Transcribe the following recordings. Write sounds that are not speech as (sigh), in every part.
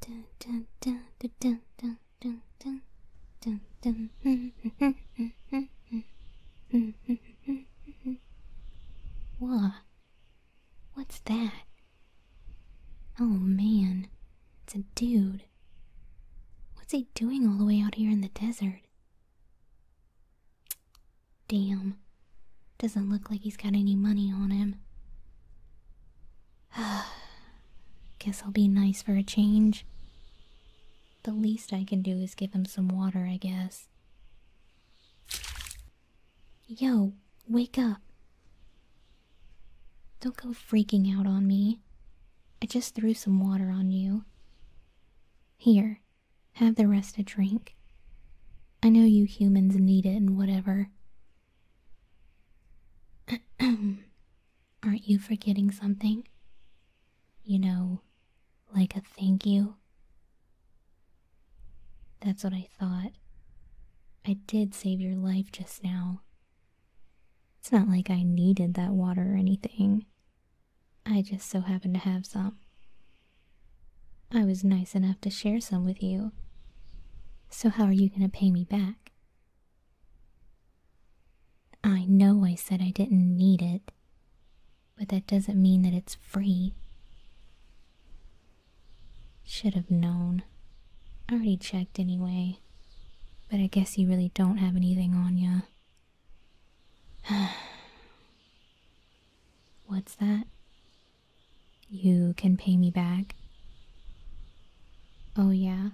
Dun, dun, dun, dun, dun, dun, dun, dun, dun, Whoa. What's that? Oh man, it's a dude. What's he doing all the way out here in the desert? Damn. Doesn't look like he's got any money on him. (sighs) Guess I'll be nice for a change. The least I can do is give him some water, I guess. Yo, wake up. Don't go freaking out on me. I just threw some water on you. Here, have the rest a drink. I know you humans need it and whatever. (clears throat) Aren't you forgetting something? You know, like a thank you? That's what I thought. I did save your life just now. It's not like I needed that water or anything. I just so happened to have some. I was nice enough to share some with you. So, how are you going to pay me back? I know I said I didn't need it, but that doesn't mean that it's free. Should have known. I already checked anyway, but I guess you really don't have anything on ya. (sighs) What's that? You can pay me back. Oh, yeah?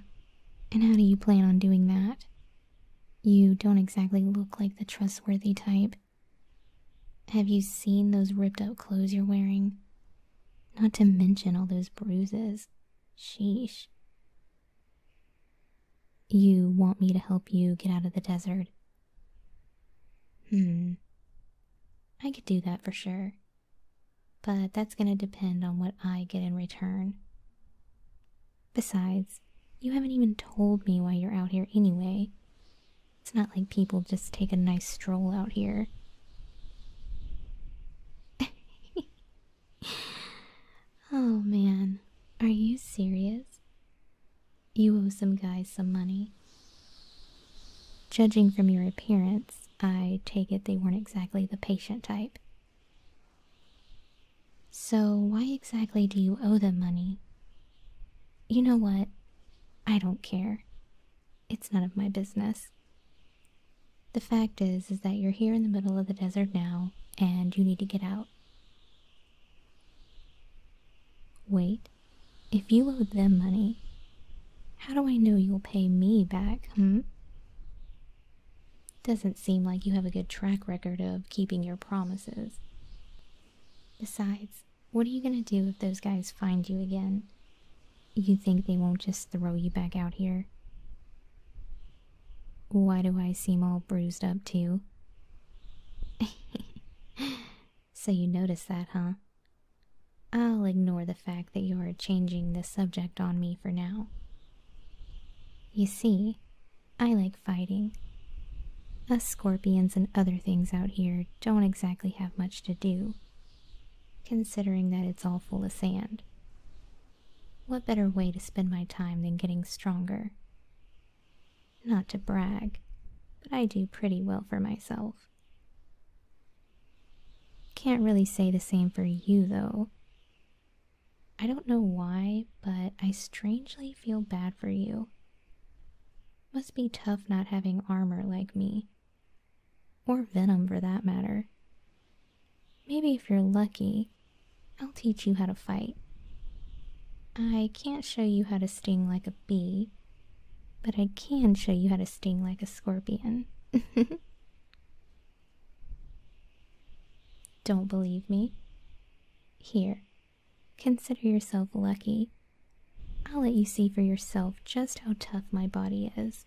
And how do you plan on doing that? You don't exactly look like the trustworthy type. Have you seen those ripped up clothes you're wearing? Not to mention all those bruises. Sheesh. You want me to help you get out of the desert Hmm. I could do that for sure. But that's going to depend on what I get in return. Besides, you haven't even told me why you're out here anyway. It's not like people just take a nice stroll out here. (laughs) oh man, are you serious? You owe some guys some money. Judging from your appearance, I take it they weren't exactly the patient type. So, why exactly do you owe them money? You know what? I don't care. It's none of my business. The fact is, is that you're here in the middle of the desert now, and you need to get out. Wait. If you owe them money, how do I know you'll pay me back, hmm? Doesn't seem like you have a good track record of keeping your promises. Besides, what are you going to do if those guys find you again? You think they won't just throw you back out here? Why do I seem all bruised up, too? (laughs) So you notice that, huh? I'll ignore the fact that you are changing the subject on me for now. You see, I like fighting. Us scorpions and other things out here don't exactly have much to do, considering that it's all full of sand. What better way to spend my time than getting stronger? Not to brag, but I do pretty well for myself. Can't really say the same for you, though. I don't know why, but I strangely feel bad for you. Must be tough not having armor like me. Or venom, for that matter. Maybe if you're lucky, I'll teach you how to fight. I can't show you how to sting like a bee, but I can show you how to sting like a scorpion. (laughs) Don't believe me? Here, consider yourself lucky. I'll let you see for yourself just how tough my body is.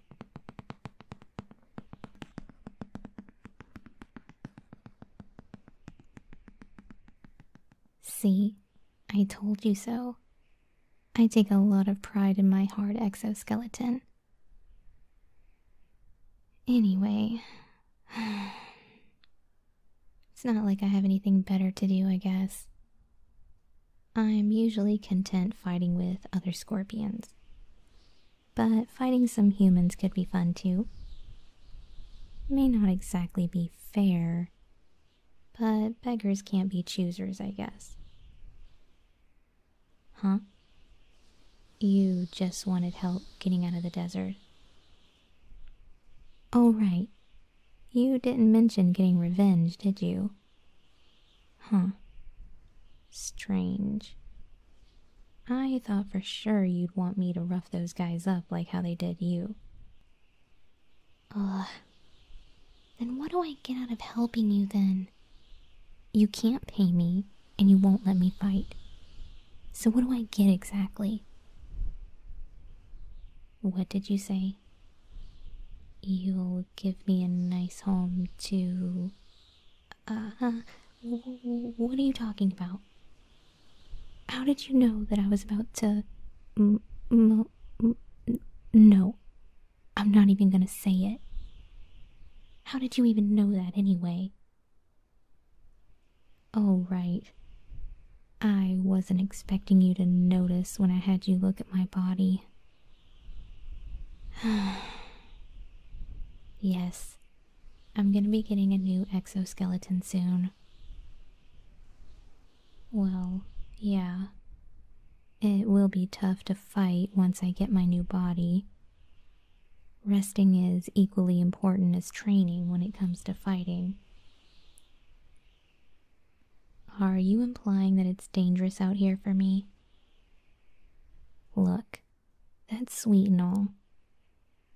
See, I told you so. I take a lot of pride in my hard exoskeleton. Anyway, (sighs) it's not like I have anything better to do, I guess. I'm usually content fighting with other scorpions but fighting some humans could be fun too. May not exactly be fair, but beggars can't be choosers, I guess. Huh? You just wanted help getting out of the desert. Oh, right. You didn't mention getting revenge, did you? Huh. Strange. I thought for sure you'd want me to rough those guys up like how they did you. Ugh. Then what do I get out of helping you then? You can't pay me, and you won't let me fight. So what do I get exactly? What did you say? You'll give me a nice home to. Uh, huh. what are you talking about? How did you know that I was about to. no. I'm not even gonna say it. How did you even know that anyway? Oh, right. I wasn't expecting you to notice when I had you look at my body. (sighs) yes, I'm gonna be getting a new exoskeleton soon. Well, yeah. It will be tough to fight once I get my new body. Resting is equally important as training when it comes to fighting. Are you implying that it's dangerous out here for me? Look, that's sweet and all,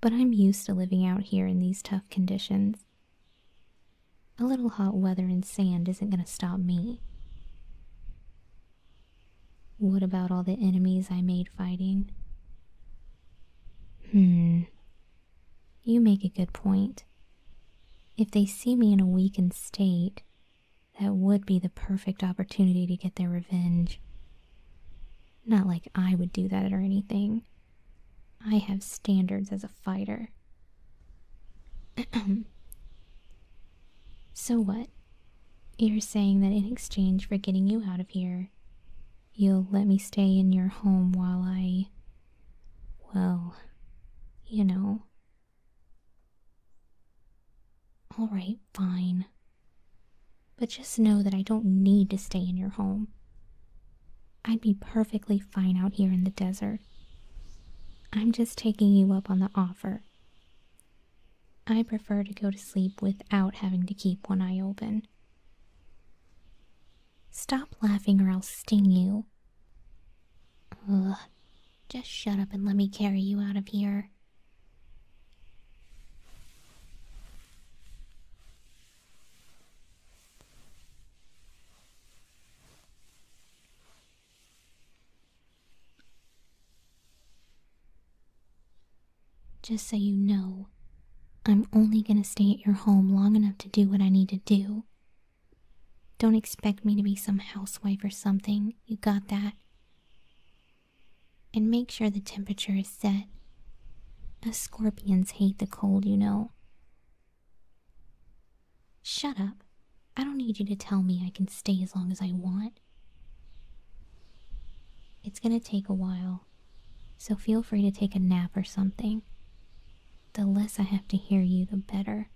but I'm used to living out here in these tough conditions. A little hot weather and sand isn't going to stop me. What about all the enemies I made fighting? Hmm. You make a good point. If they see me in a weakened state, that would be the perfect opportunity to get their revenge. Not like I would do that or anything. I have standards as a fighter. (clears throat) so what? You're saying that in exchange for getting you out of here, you'll let me stay in your home while I. well, you know. Alright, fine. But just know that I don't need to stay in your home. I'd be perfectly fine out here in the desert. I'm just taking you up on the offer. I prefer to go to sleep without having to keep one eye open. Stop laughing or I'll sting you. Ugh, just shut up and let me carry you out of here. Just so you know, I'm only gonna stay at your home long enough to do what I need to do. Don't expect me to be some housewife or something, you got that? and make sure the temperature is set. Us scorpions hate the cold, you know. Shut up. I don't need you to tell me I can stay as long as I want. It's gonna take a while, so feel free to take a nap or something. The less I have to hear you, the better.